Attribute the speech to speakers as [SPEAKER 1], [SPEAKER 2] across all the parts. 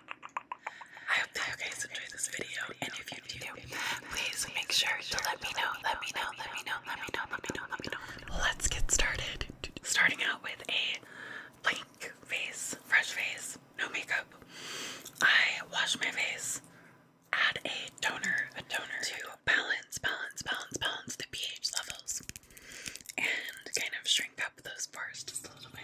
[SPEAKER 1] I hope that you guys enjoyed this video, and if you do, please make sure to let me know, let me know, let me know, let me know, let me know, let me know. Let's get started. Starting out with a blank face, fresh face, no makeup. I wash my face, add a toner, a toner to balance, balance, balance, balance the pH levels, and kind of shrink up those pores just a little bit.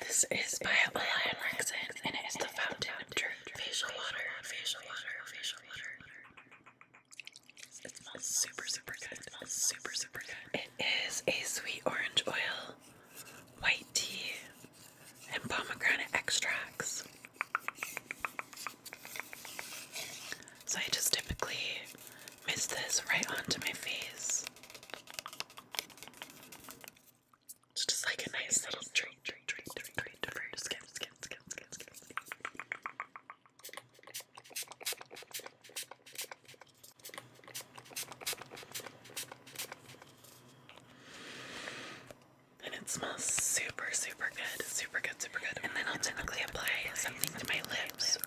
[SPEAKER 1] This is by Lion Rexon, and it is the Fountain of Truth facial water, facial water, facial water. It smells super, super good. super, super good. It is a sweet orange oil, white tea, and pomegranate extracts. So I just typically mist this right onto my face. It's just like a nice little treat, treat, treat, treat, treat, treat. Skip, skip, skip, skip, skip. And it smells super, super good, super good, super good. And then I'll typically apply something to my lips.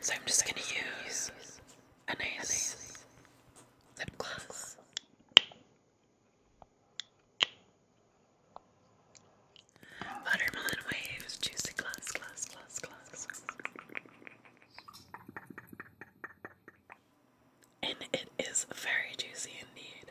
[SPEAKER 1] So I'm just going to use a nice lip gloss. Watermelon waves, juicy glass, glass, glass, glass. And it is very juicy indeed.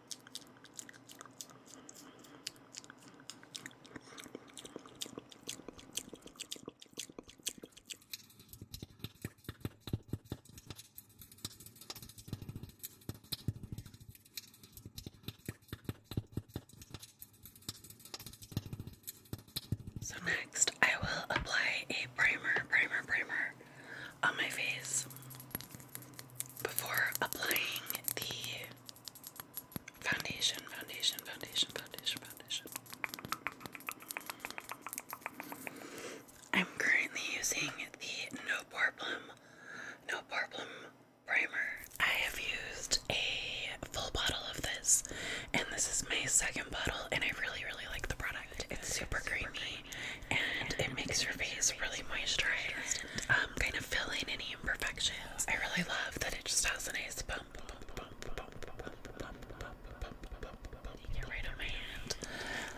[SPEAKER 1] So next, I will apply a primer, primer, primer on my face before applying the Foundation, foundation, foundation, foundation, foundation. I'm currently using the No Problem, No Problem primer. I have used a full bottle of this, and this is my second bottle, and I really, really like the product. It's super creamy, and it makes your face really moisturized, I'm um, kind of fill in any tiny imperfections. I really love that it just has a nice bump. Get right on my hand,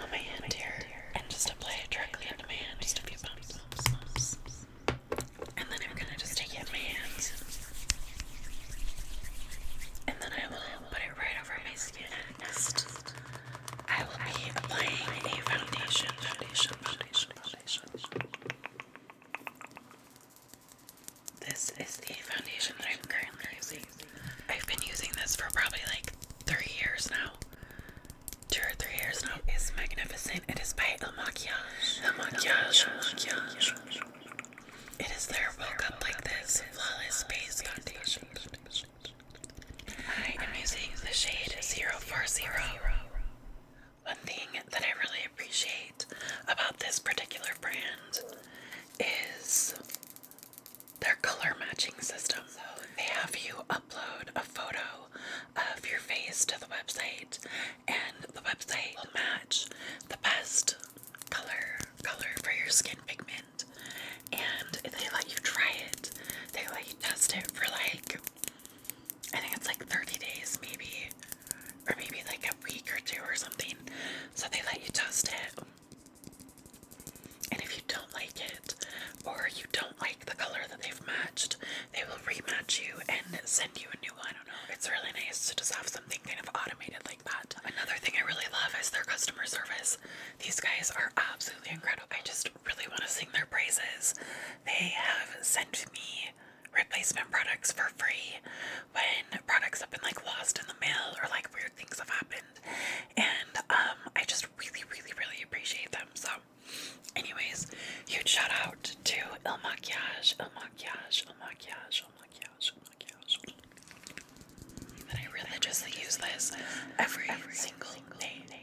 [SPEAKER 1] on my hand here, and just apply it directly onto my hand. Just a few bumps, bumps, bumps. and then I'm gonna just take it in my hands, and then I will put it right over my skin. Next, I will be applying a foundation, foundation, foundation, this is the foundation that I'm currently using. I've been using this for probably like three years now. Two or three years now. It is magnificent. It is by El Maquillage. El Maquillage. It is their woke up like this flawless base foundation. I am using the shade 040 one thing that I really appreciate about this particular brand is their color matching system. they have you upload a photo of your face to the website, and the website will match the best color color for your skin pigment. And they let you try it. They let you test it for like I think it's like 30 days, maybe, or maybe like a week or two or something. So they let you test it. And if you don't like it, or you don't like the color that they've matched, they will rematch you and send you a new one. I don't know. It's really nice to just have something kind of automated like that. Another thing I really love is their customer service. These guys are absolutely incredible. I just really want to sing their praises they have sent me replacement products for free when products have been like lost in the mail or like weird things have happened. And um I just really, really, really appreciate them. So anyways, huge shout out to Il Maquillage, Il Maquillage, Il Maquillage, Il Maquillage, Il Maquillage. That I religiously use this every, every single, single day. day.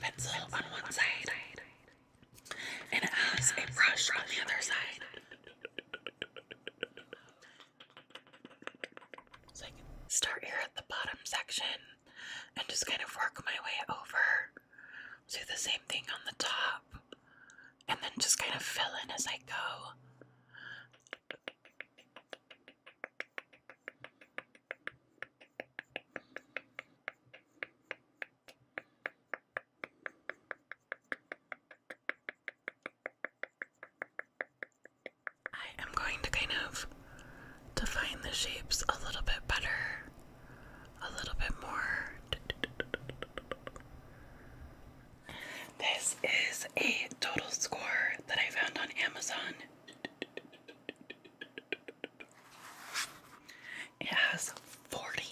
[SPEAKER 1] pencil on one side and it has a brush on the other side. So I can start here at the bottom section and just kind of work my way over. Do the same thing on the top and then just kind of fill in as I go. I am going to kind of define the shapes a little bit better, a little bit more. This is a total score that I found on Amazon. It has 40,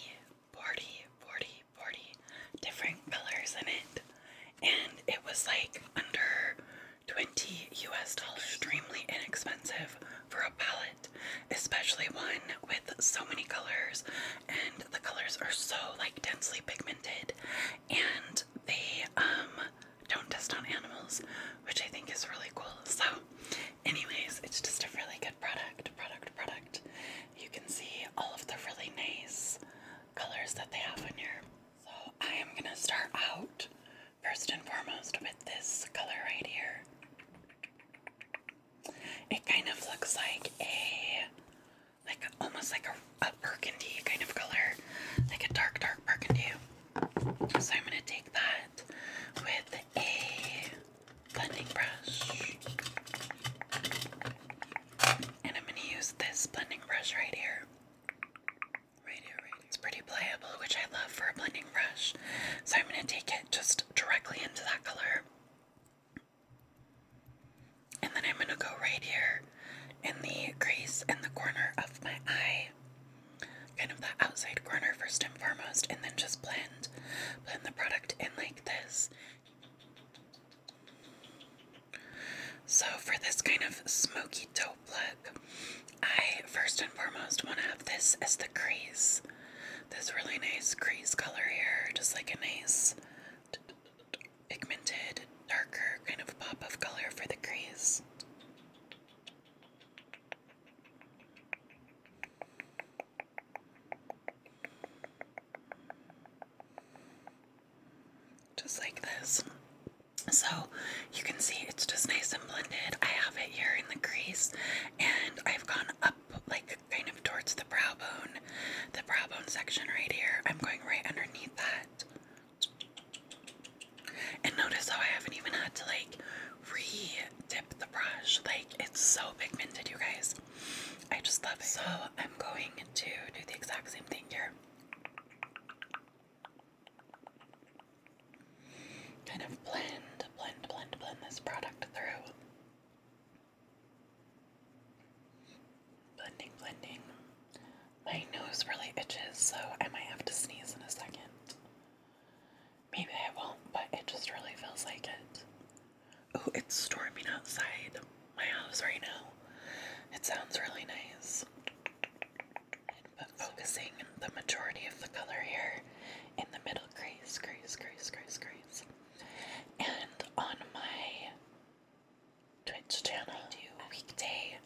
[SPEAKER 1] 40, 40, 40 different colors in it. And it was like under 20 US dollars. Extremely inexpensive for a palette, especially one with so many colors. And the colors are so like densely pigmented. And they um, don't test on animals, which I think is really cool. So, anyways, it's just a really good product, product, product. You can see all of the really nice colors that they have on here. So, I am going to start out first and foremost with this color right here. It kind of looks like a like almost like a, a burgundy kind of color, like a dark, dark burgundy. So I'm going to take that with a blending brush. And I'm going to use this blending brush right here. Right here, right here. It's pretty pliable, which I love for a blending brush. So I'm going to take it just directly into that color. And then I'm going to go right here in the crease in the corner of my eye. Kind of the outside corner first and foremost. And then just blend. Blend the product in like this. So for this kind of smoky taupe look, I first and foremost want to have this as the crease. This really nice crease color here. Just like a nice pigmented, darker kind of pop of color for the crease. Just like this. So you can see it's just nice and blended. I have it here in the crease and I've gone up like kind of towards the brow bone, the brow bone section right here. I'm going right underneath that. And notice how I haven't even had to like re-dip the brush. Like it's so pigmented, you guys. I just love it. So I'm going to do the exact same thing here. Kind of blend, blend, blend, blend this product through. Blending, blending. My nose really itches, so I might have to sneeze in a second. Maybe I won't, but it just really feels like it. Oh, it's storming outside my house right now. It sounds really nice. But focusing the majority of the color here in the middle crease, crease, crease, crease, crease. And on my Twitch channel. do weekday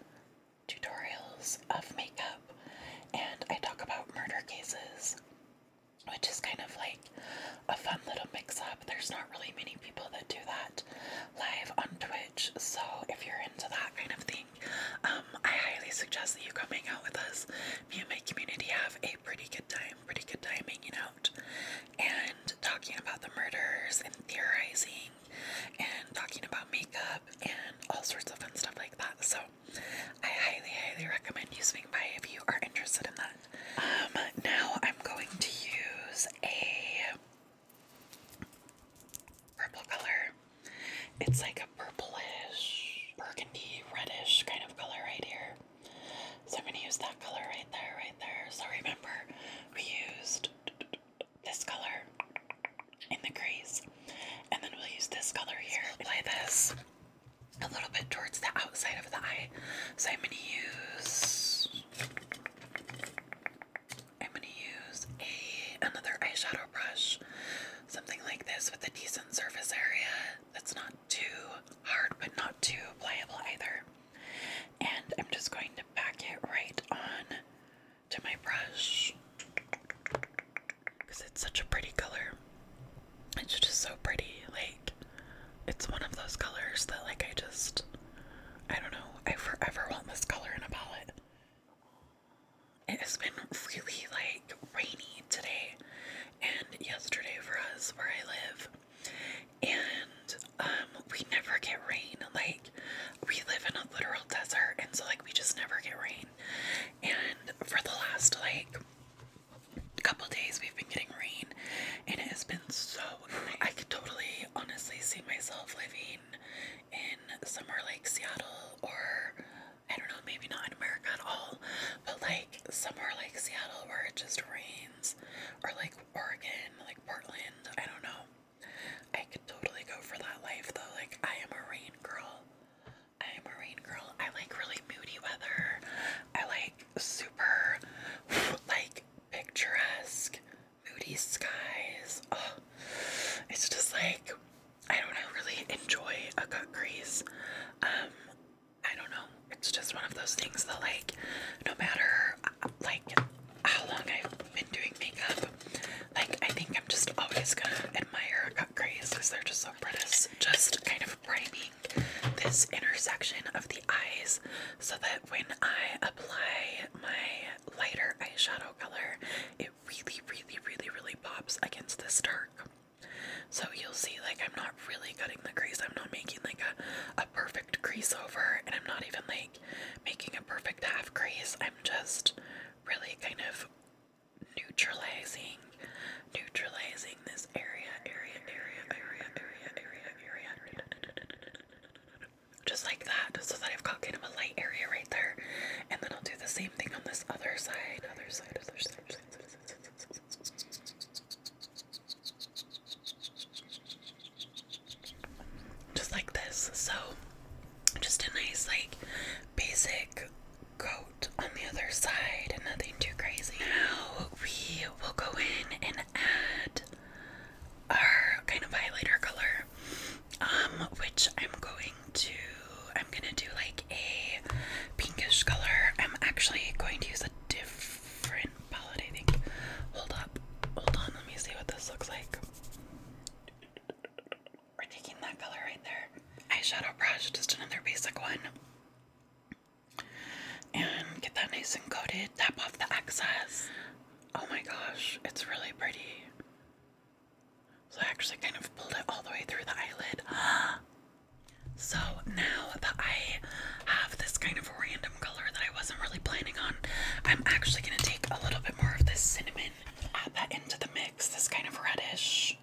[SPEAKER 1] tutorials of makeup and I talk about murder cases, which is kind of like a fun little mix up. There's not really many people that do that live on Twitch, so if you're into that kind of thing, um, I highly suggest that you come hang out with us. Me and my community have a pretty good time, pretty good time hanging out and talking about the murders and theorizing and talking about makeup and all sorts of fun stuff like that. So I highly, highly recommend using by if you are interested in that. Um, now I'm going to use a purple color. It's like a purplish, burgundy, reddish kind of color right here. So I'm going to use that color right there, right there. So remember, we used this color in the crease, and then we'll use this color here. So apply this a little bit towards the outside of the eye. So I'm going to use. I'm going to use a another eyeshadow brush, something like this with a decent surface area that's not too hard but not too pliable either. And I'm just going to pack it right on to my brush because it's such a pretty color. It's just so pretty. Like, it's one of those colors that, like, I just, I don't know, I forever want this color in a palette. It has been really, like, rainy today and yesterday for us where I live and um, we never get rain like we live in a literal desert and so like we just never get rain and for the last like couple days we've been getting rain and it has been so I could totally honestly see myself living in somewhere like Seattle or I don't know, maybe not in America at all, but like somewhere like Seattle where it just rains, or like Oregon, like Portland, I don't know. I could totally go for that life though. Like, I am a rain girl. I am a rain girl. I like really moody weather. I like super, like, picturesque, moody skies. it's just like, I don't really enjoy a cut crease. Um, I don't know. It's just one of those things that, like, no matter, uh, like, how long I've been doing makeup. Like, I think I'm just always gonna admire cut grays because they're just so pretty. Just kind of priming this intersection of the eyes so that when I apply my lighter eyeshadow color, it really, really, really, really pops against this dark. So you'll see, like, I'm not really cutting the crease. I'm not making, like, a, a perfect crease over, and I'm not even like making a perfect half crease, I'm just really kind of neutralizing, neutralizing this area, area, area, area, area, area, area, just like that, so that I've got kind of a light area right there, and then I'll do the same thing on this other side, other side, other side, other side. Other side, other side, other side, other side. Just like this. So, just a nice, like, basic coat on the other side, nothing too crazy. Now, we will go in and add our kind of highlighter color, um, which I'm going to, I'm gonna do like a pinkish color. I'm actually going to use a different Validating. Hold up. Hold on. Let me see what this looks like. We're taking that color right there. Eyeshadow brush, just another basic one. And get that nice and coated. Tap off the excess. Oh my gosh, it's really pretty. So I actually kind of pulled it all the way through the eyelid. so now the eye have this kind of random color that I wasn't really planning on. I'm actually going to take a little bit more of this cinnamon, add that into the mix, this kind of reddish,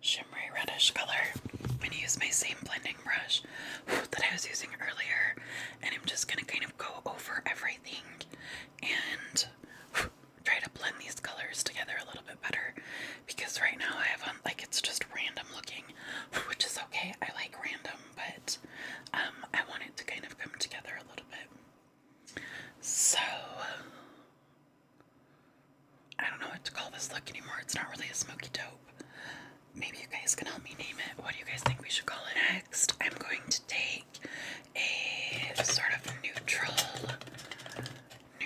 [SPEAKER 1] shimmery reddish color. I'm going to use my same blending brush that I was using earlier, and I'm just going to kind of go over everything and try to blend these colors together a little bit better because right now I have like it's just random looking, which is okay. I like random but um, I want to kind of come together a little bit. So, I don't know what to call this look anymore. It's not really a smoky taupe. Maybe you guys can help me name it. What do you guys think we should call it? Next, I'm going to take a sort of neutral,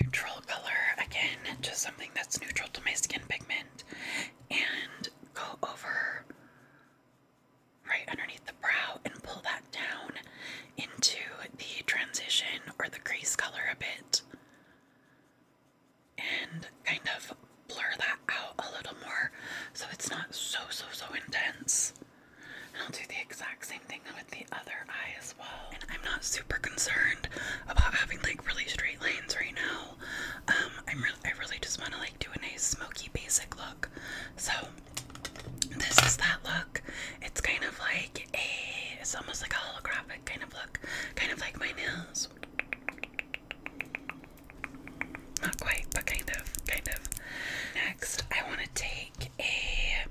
[SPEAKER 1] neutral color again, just something that's neutral to my skin pigment, and go over right underneath the brow and pull that down into the transition or the crease color a bit and kind of blur that out a little more so it's not so so so intense. And I'll do the exact same thing with the other eye as well. And I'm not super concerned about having like really straight lines right now. Um, I'm re I really just want to like do a nice smoky basic look. So this is that look. It's kind of like a, it's almost like a holographic kind of look, kind of like my nails. Not quite, but kind of, kind of. Next, I want to take a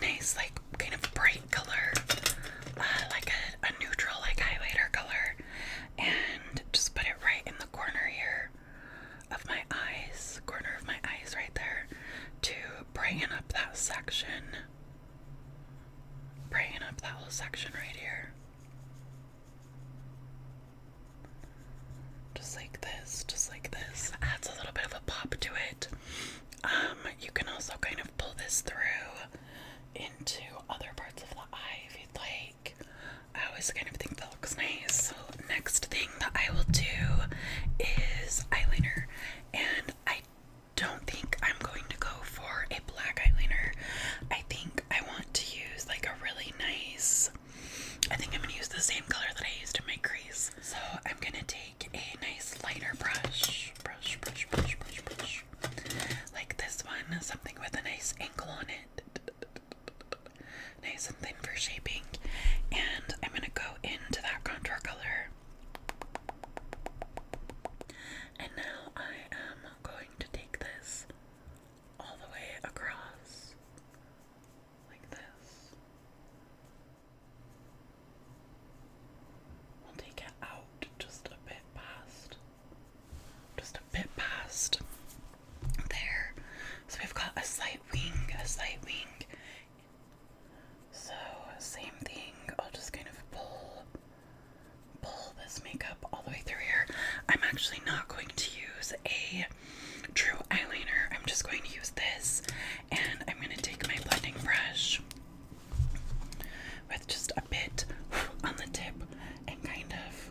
[SPEAKER 1] nice, like, kind of bright color, uh, like a neutral, like, highlighter color, and just put it right in the corner here of my eyes, corner of my eyes right there, to brighten up that section. Brighten up that whole section right here. Just like this, just like this. Adds a little bit of a pop to it. Um, you can also kind of pull this through into other parts of the eye if you'd like like I always kind of think that looks nice. So next thing that I will do is eyeliner, and I don't think I'm going to go for a black eyeliner. I think I want to use like a really nice. I think I'm gonna use the same color that I used in my crease. So I'm gonna take a nice lighter brush, brush, brush, brush, brush, brush, like this one, something with a nice angle on it nice and for shaping. And I'm going to go into that contour color. And now I am going to take this all the way across like this. We'll take it out just a bit past just a bit past there. So we've got a slight wing, a slight wing. So same thing. I'll just kind of pull pull this makeup all the way through here. I'm actually not going to use a true eyeliner. I'm just going to use this and I'm going to take my blending brush with just a bit on the tip and kind of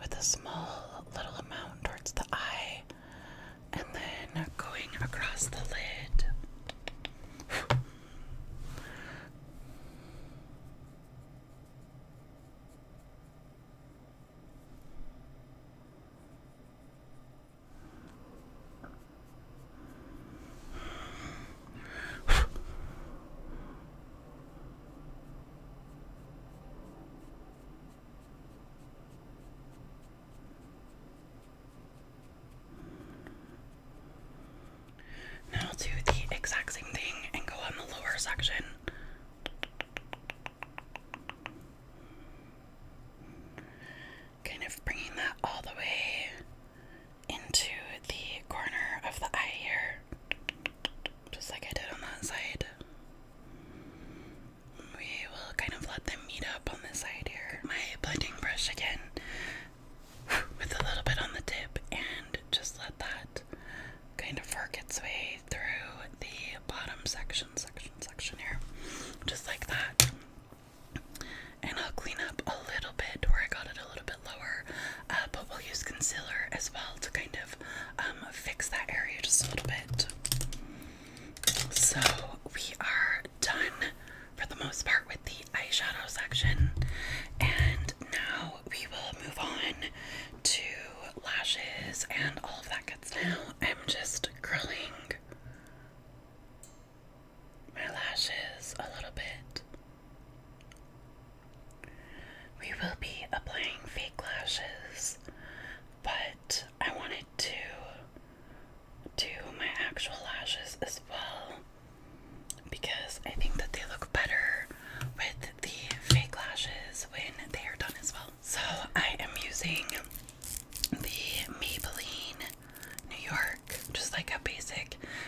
[SPEAKER 1] with a small little amount towards the eye and then going across the lid. now I'll do the exact same thing and go on the lower section. Kind of bringing that all the way into the corner of the eye here just like I did on that side. We will kind of let them meet up on this side here. My blending brush again with a little bit on the tip and just let that kind of work its way through the bottom section, section, section here. Just like that. And I'll clean up a little bit where I got it a little bit lower, uh, but we'll use concealer as well to kind of um, fix that area just a little bit. So we are done for the most part with the eyeshadow section, and now we will move on to lashes and all of that good stuff. Now I'm just curling my lashes a little bit. We will be applying fake lashes, but I wanted to do my actual lashes as well because I think that they look better with the fake lashes when they are done as well. So I am using the Maybelline New York, just like a basic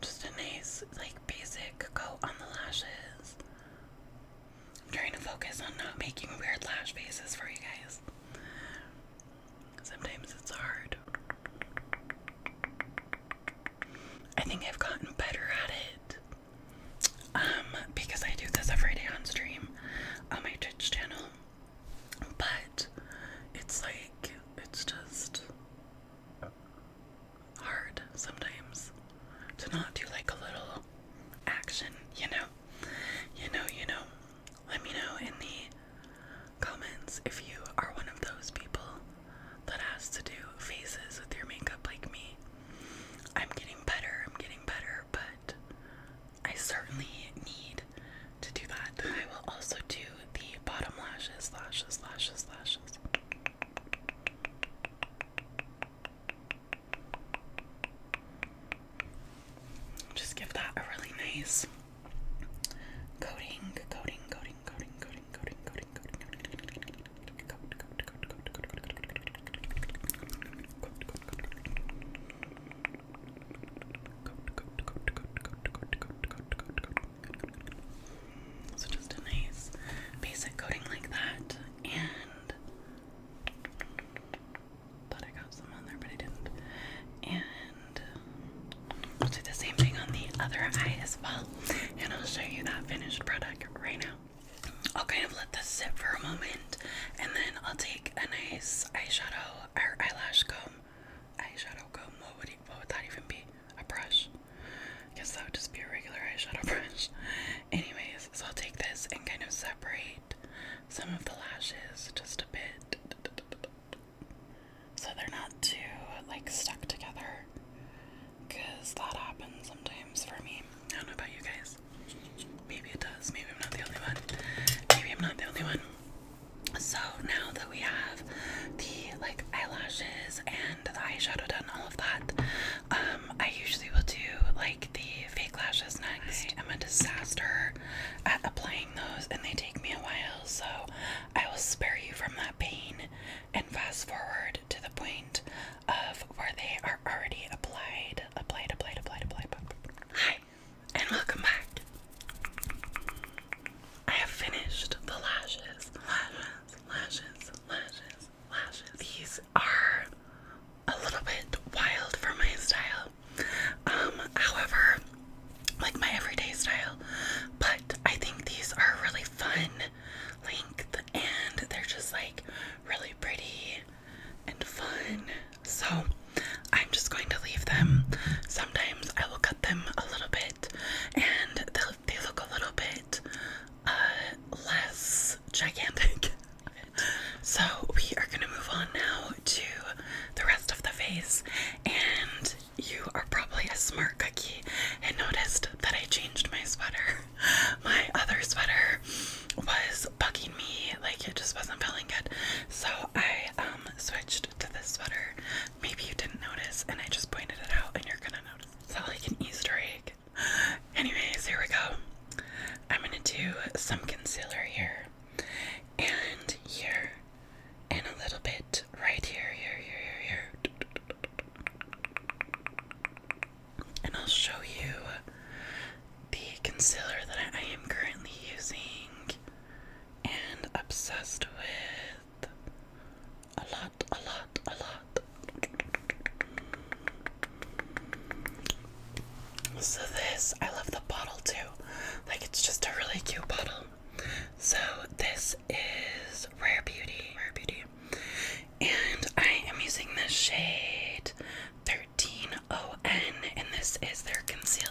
[SPEAKER 1] just a nice, like, basic coat on the lashes. I'm trying to focus on not making weird lash faces for you guys. Sometimes it's hard. I think I've gotten better at it. Um, because I do this every day on stream on my Twitch channel. But it's like, it's just, hard sometimes to not do like a little action, you know? You know, you know. Let me know in the comments if you are one of those people that has to do faces with your makeup like me. I'm getting better, I'm getting better, but I certainly need to do that. I will also do the bottom lashes, lashes, lashes, lashes. Just give that a really nice coating, coating, coating, coating, coating, coating, coating, coating, coating. Good, So just a nice basic coating like that, and thought I got some on there, but I didn't. And I'll do the same thing on the other eye as well, and I'll show you that finished product right now. I'll kind of let this sit for a moment, and then I'll take a nice eyeshadow or eyelash comb. Eyeshadow comb. What would, it, what would that even be? a brush. I guess that would just be a regular eyeshadow brush. Anyways, so I'll take this and kind of separate some of the lashes just a bit so they're not too like stuck together because that happens sometimes for me. I don't know about you guys. Maybe it does. Maybe I'm not the only one. Maybe I'm not the only one. So now that we have the like eyelashes and the eyeshadow done, all of that, um, I usually will do like the fake lashes next. I am a disaster at applying those, and they take me a while. So I will spare you from that pain and fast forward to the point of where they are already applied, applied, applied, applied, applied. applied. Hi, and welcome back. I have finished the lashes, lashes, lashes, lashes, lashes. These are a little bit wild for my style. Um, however, like my everyday style, but I think these are really fun length and they're just like really pretty and fun. So I'm just going to leave them. Sometimes I will cut them a little bit and they look a little bit uh, less gigantic. so we are gonna move on now to the rest of the face, and you are probably a smart cookie and noticed that I changed my sweater. My other sweater was bugging me, like it just wasn't feeling good. So I um switched to this sweater maybe you didn't notice and I just pointed it out and you're gonna notice. It's So like an Easter egg. Anyways, here we go. I'm gonna do some concealer here and here and a little bit right here, here, here, here, here. And I'll show you the concealer that I am currently using and obsessed with. A lot, a lot, a lot. So, this, I love the bottle too. Like, it's just a really cute bottle. So, this is Rare Beauty. Rare Beauty. And I am using the shade 13ON, and this is their concealer.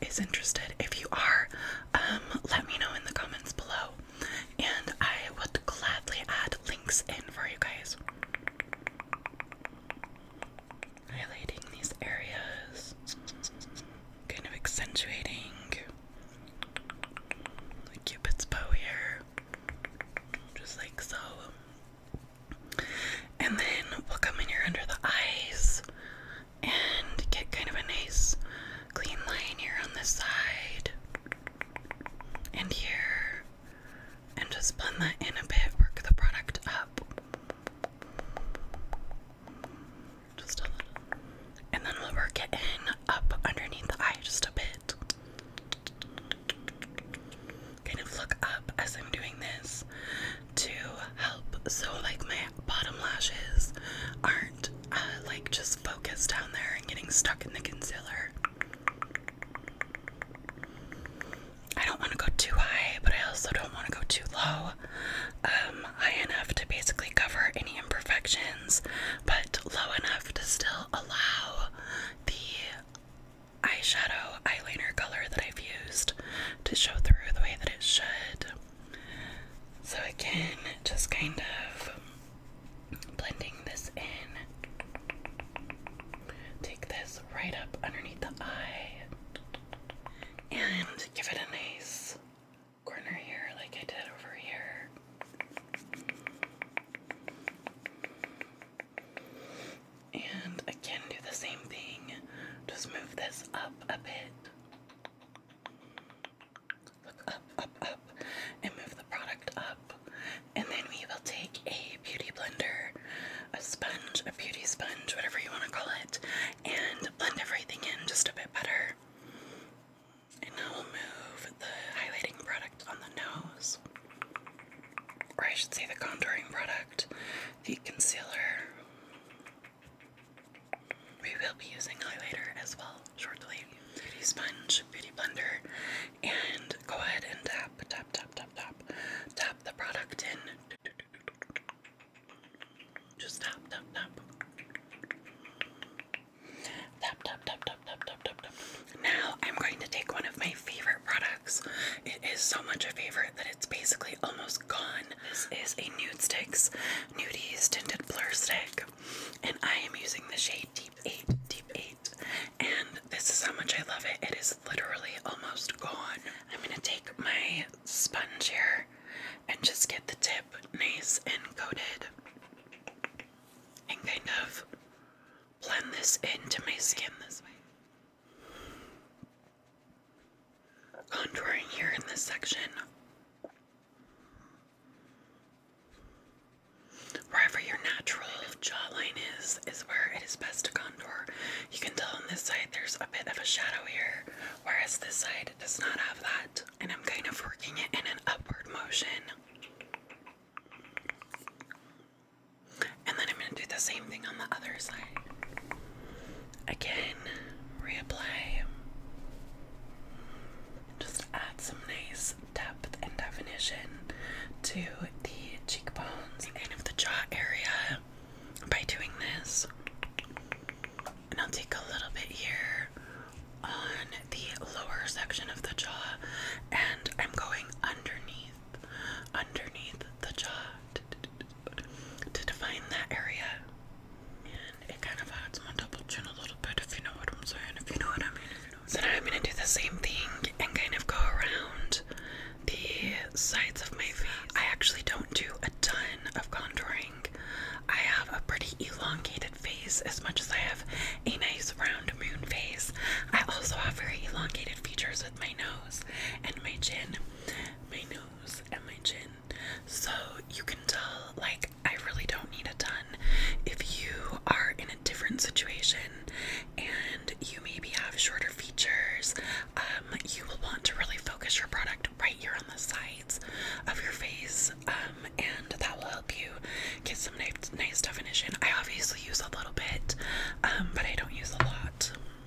[SPEAKER 1] is interested. If you are, um, let me know in the comments below, and I would gladly add links in for you guys. Highlighting these areas, kind of accentuating the cupid's bow here, just like so. And then we'll come in here under the eyes and get kind of a nice clean line here on the side and here and just blend that in a bit work the product up just a little and then we'll work it in up underneath the eye just a bit kind of look up as I'm doing this to help so like my bottom lashes aren't uh, like just focused down there and getting stuck in the concealer. I don't want to go too high, but I also don't want to go too low. Um, high enough to basically cover any imperfections, but low enough to still allow the eyeshadow eyeliner color that I've used to show through the way that it should. So, again, just kind of blending this in. Take this right up underneath the eye and give it a nice corner here, like I did over here. And again, do the same thing just move this up a bit. Look up, up, up, and move the product up. And then we will take a beauty blender, a sponge, a beauty sponge, whatever you want to call it, and blend everything in just a bit better. And now we'll move the highlighting product on the nose, or I should say the contouring product, the concealer. We will be using highlighter as well shortly. Beauty sponge, beauty blender, and go ahead and tap, tap, tap, tap, tap, tap the product in. Just tap, tap, tap. Tap, tap, tap, tap, tap, Now I'm going to take one of my favorite products. It is so much a favorite that it's basically almost gone. This is a Nude Sticks Nudies Tinted Blur Stick, and I am using the shade Deep 8, Deep 8, and this is how much I love it. It is literally almost gone. I'm going to take my sponge here and just get the tip nice and coated and kind of blend this into my skin this way contouring here in this section. Wherever your natural jawline is, is where it is best to contour. You can tell on this side there's a bit of a shadow here, whereas this side does not have that. And I'm kind of working it in an upward motion. And then I'm going to do the same thing on the other side. Again, replay. Just add some nice depth and definition to the cheekbones and of the jaw area by doing this. And I'll take a little bit here on the lower section of the jaw, and I'm going underneath, underneath the jaw to define that area. And it kind of adds my double chin a little bit, if you know what I'm saying, if you know what I mean. so now I'm going to do the same thing and kind of go around the sides of my face. I actually don't do a ton of contouring. I have a pretty elongated face as much as I have a nice round moon face. I also have very elongated features with my nose and my chin. My nose nose So you can tell, like, I really don't need a ton. If you are in a different situation and you maybe have shorter features, um, you will want to really focus your product right here on the sides of your face, um, and that will help you get some nice, nice definition. I obviously use a little bit, um, but I don't use a lot.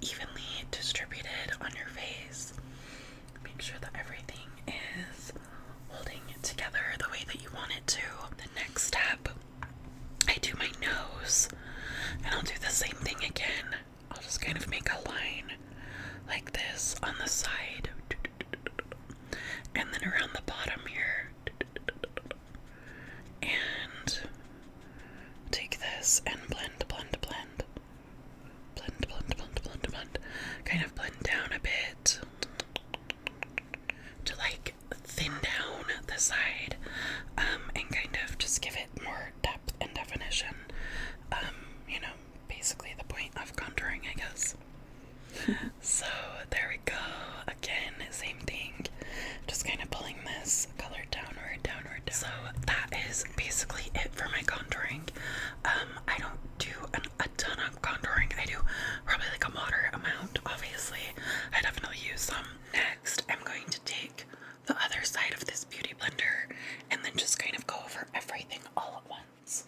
[SPEAKER 1] evenly distributed on your face. Make sure that everything is holding it together the way that you want it to. The next step, I do my nose, and I'll do the same thing again. I'll just kind of make a line like this on the side and then around the bottom here. And take this and blend, blend, blend. Blend, blend, blend, blend, blend. Kind of blend down a bit to like thin down the side um, and kind of just give it more depth and definition. Um, you know, basically the point of contouring, I guess. so there we go. Again, same thing. Just kind of pulling this so that is basically it for my contouring. Um, I don't do a ton of contouring. I do probably like a moderate amount, obviously. I definitely use some. Next, I'm going to take the other side of this beauty blender and then just kind of go over everything all at once.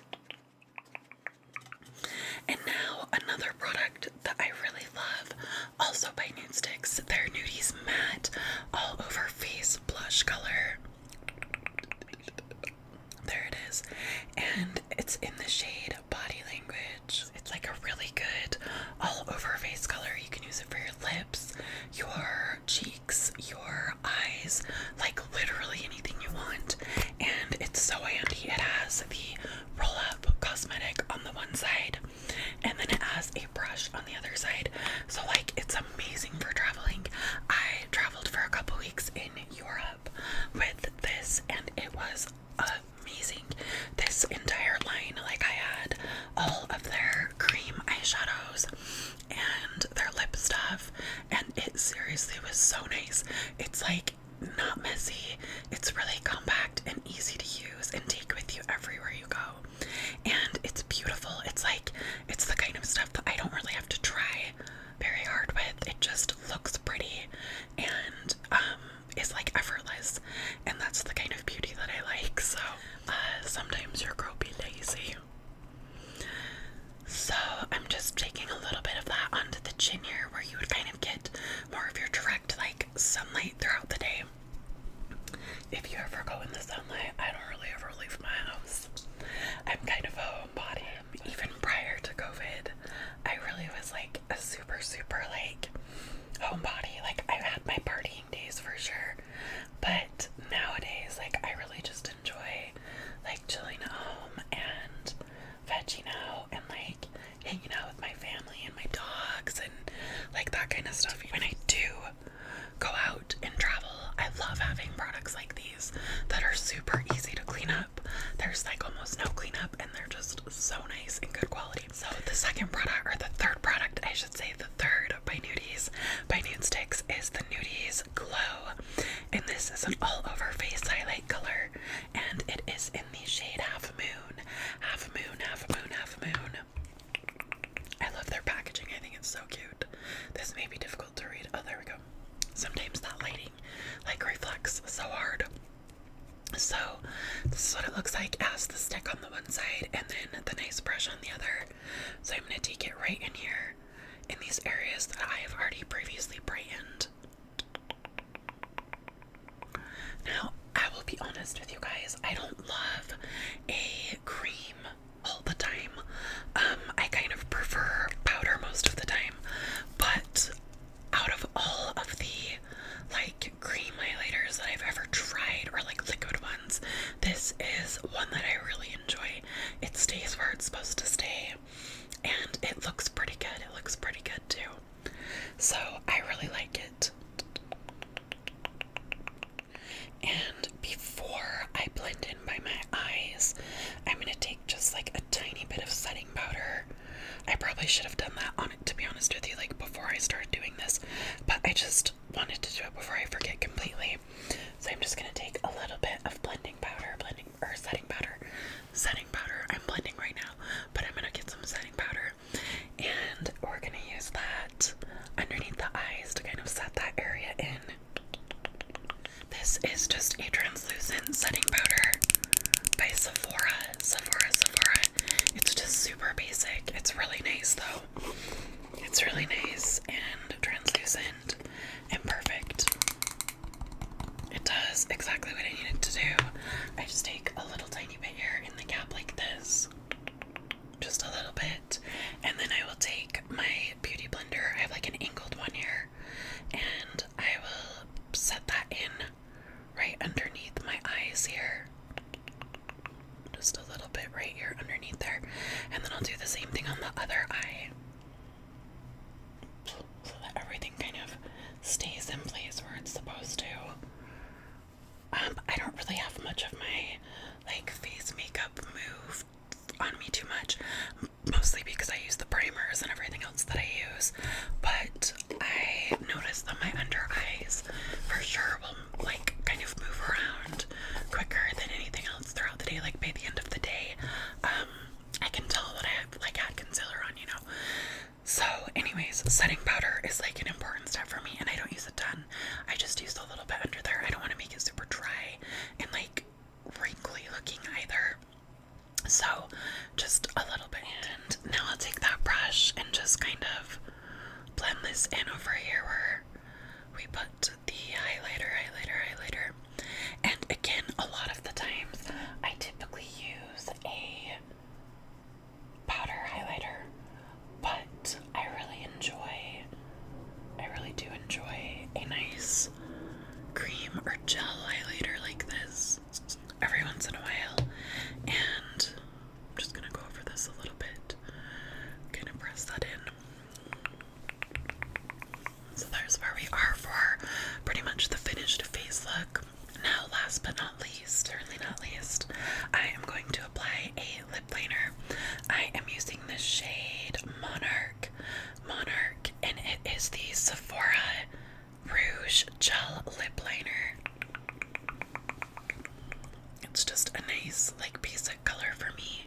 [SPEAKER 1] And now, another product that I really love also by Nude Sticks, their Nudies Matte All Over Face Blush Color. There it is. And it's in the shade Body Language. It's like a really good all over face color. You can use it for your lips, your cheeks, your eyes, like literally anything you want. And it's so handy. It has the roll up cosmetic on the one side and then it has a brush on the other side. So like it's amazing for traveling. I traveled for a couple weeks in Europe with this and it was amazing. This entire line, like I had all of their cream eyeshadows and their lip stuff, and it seriously was so nice. It's like not messy, it's really compact and easy to use and take with you everywhere you go and it's beautiful. It's like it's the kind of stuff that I don't really have to try very hard with. It just looks pretty and um is like effortless, and that's the kind of beauty that I like. So uh, sometimes your girl be lazy. So I'm just taking a little bit of that onto the chin here, where you would kind of get more of your like sunlight throughout the day. If you ever go in the sunlight, I don't really ever leave my house. I'm kind of a homebody. Even prior to COVID, I really was like a super, super like homebody. Like I had my partying days for sure. But nowadays, like I really just enjoy like chilling at home and vegging out and like hanging out with my family and my dogs and like that kind of stuff. When I do go out and travel, I love having products like these that are super easy to clean up. There's like almost no cleanup and they're just so nice and good quality. So the second product or the third product, I should say the third by Nudes, by Nudes Sticks is the Nudes Glow. And this is an all over face highlight color and it is in the shade half moon, half moon, half moon, half moon. I love their packaging. I think it's so cute. This may be difficult to read. Oh, there we go. Sometimes that lighting like reflects so hard. So this is what it looks like as the stick on the one side and then the nice brush on the other. So I'm gonna take it right in here in these areas that I have already previously brightened. Now, I will be honest with you guys, I don't love a cream all the time. Um, I kind of prefer powder most of the time, but out of all of the like cream highlighters that I've ever tried, or like liquid ones, this is one that I really enjoy. It stays where it's supposed to stay, and it looks pretty good. It looks pretty good too. So I really like it. And before I blend in by my eyes, I'm going to take just like a tiny bit of setting powder. I probably should have done that on it, to be honest with you, like before I started doing this, but I just wanted to do it before I forget completely. So I'm just going to take a little bit of blending powder, blending or setting powder, setting powder. I'm blending right now, but I'm going to get some setting powder and we're going to use that underneath the eyes to kind of set that area in. This is just a translucent setting powder by Sephora. Sephora, Sephora. It's just super basic. It's really nice though. It's really nice and translucent and perfect. It does exactly what I needed to do. I just take a little tiny bit here in the gap like this just a little bit, and then I will take my beauty blender. I have like an angled one here, and I will set that in right underneath my eyes here. Just a little bit right here underneath there, and then I'll do the same thing on the other eye so that everything kind of stays in place where it's supposed to. Um, I don't really have much of my like face makeup move on me too much, mostly because I use the primers and everything else that I use. But I notice that my under eyes for sure will like kind of move around quicker than anything else throughout the day. Like by the end of the day, um, I can tell that I have like had concealer on, you know. So, anyways, setting powder is like an important step for me, and I don't use a ton. I just use a little bit under there. I don't want to make it super dry and like wrinkly looking either. So, just a little bit. And now I'll take that brush and just kind of blend this in over here where we put the highlighter, highlighter, highlighter. And again, a lot of the times I typically use a powder highlighter, but I really enjoy, I really do enjoy a nice cream or gel highlighter like this every once in a while. And I'm just gonna go over this a little bit, kind of press that in. So there's where we are for pretty much the finished face look. Now, last but not least, certainly not least, I am going to apply a lip liner. I am using the shade Monarch, Monarch, and it is the Sephora Rouge Gel Lip Liner. It's just a nice, like, basic color for me.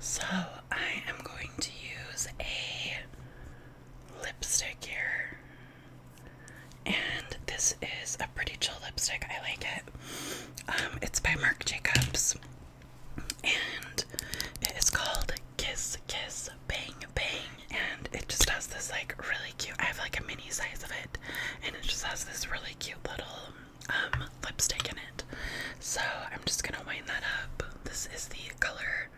[SPEAKER 1] So I am going to use a lipstick here. And this is a pretty chill lipstick. I like it. Um, it's by Marc Jacobs. And it is called Kiss Kiss Bang Bang. And it just has this like really cute, I have like a mini size of it. And it just has this really cute little um, lipstick in it. So I'm just gonna wind that up. This is the color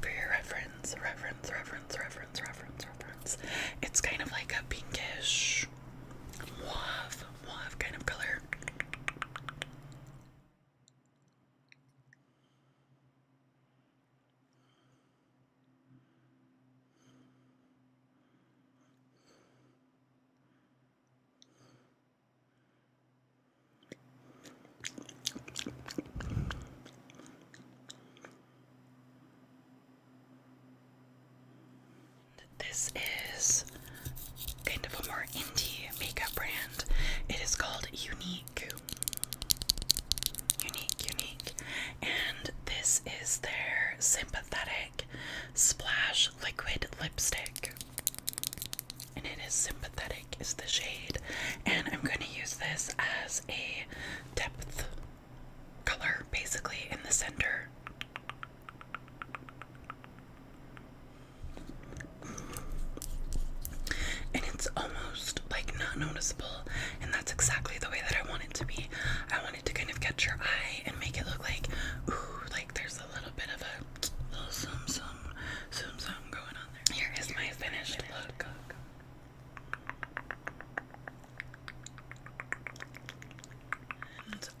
[SPEAKER 1] for your reference, reference, reference, reference, reference, reference. It's kind of like a pinkish mauve, mauve kind of color. This is kind of a more indie makeup brand. It is called Unique. Unique, unique. And this is their sympathetic Splash Liquid Lipstick. And it is sympathetic, is the shade. And I'm going to use this as a depth color, basically, in the center. And it's almost like not noticeable, and that's exactly the way that I want it to be. I want it to kind of catch your eye and make it look like, ooh, like there's a little bit of a little some some going on there. Here is my finished look.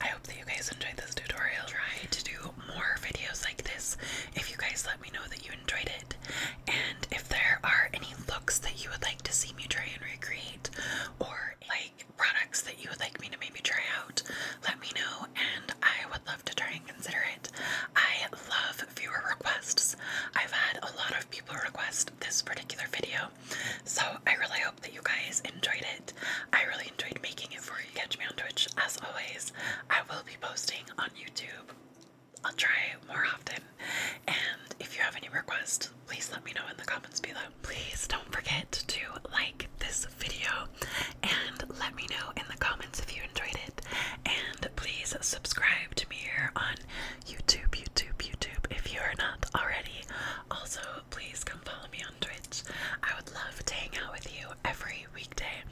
[SPEAKER 1] I hope that you guys enjoyed this tutorial. Try to do more videos like this if you guys let me know that you enjoyed it. And if there are any looks that you would like to see me try and recreate, or like products that you would like me to maybe try out, let me know and I would love to try and consider it. I love viewer requests. I've had a lot of people request this particular video, so I really hope that you guys enjoyed it. I really enjoyed making it for you. Catch me on Twitch as always. I will be posting on YouTube. I'll try more often. And if you have any requests, please let me know in the comments below please don't forget to like this video and let me know in the comments if you enjoyed it. And please subscribe to me here on YouTube, YouTube, YouTube if you are not already. Also, please come follow me on Twitch. I would love to hang out with you every weekday.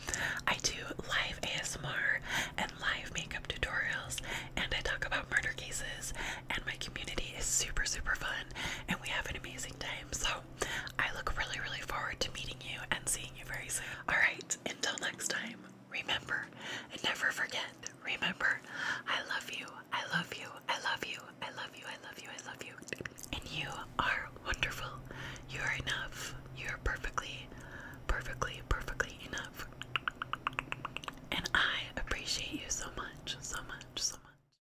[SPEAKER 1] I do live ASMR and live makeup tutorials, and I talk about murder cases. And my community is super, super fun, and we have an amazing time. So, I look really, really forward to meeting you and seeing you very soon. Alright, until next time, remember and never forget. Remember, I love you, I love you, I love you, I love you, I love you, I love you. And you are wonderful. You are enough. You are perfectly, perfectly, perfectly enough. And I appreciate you so much, so much, so much.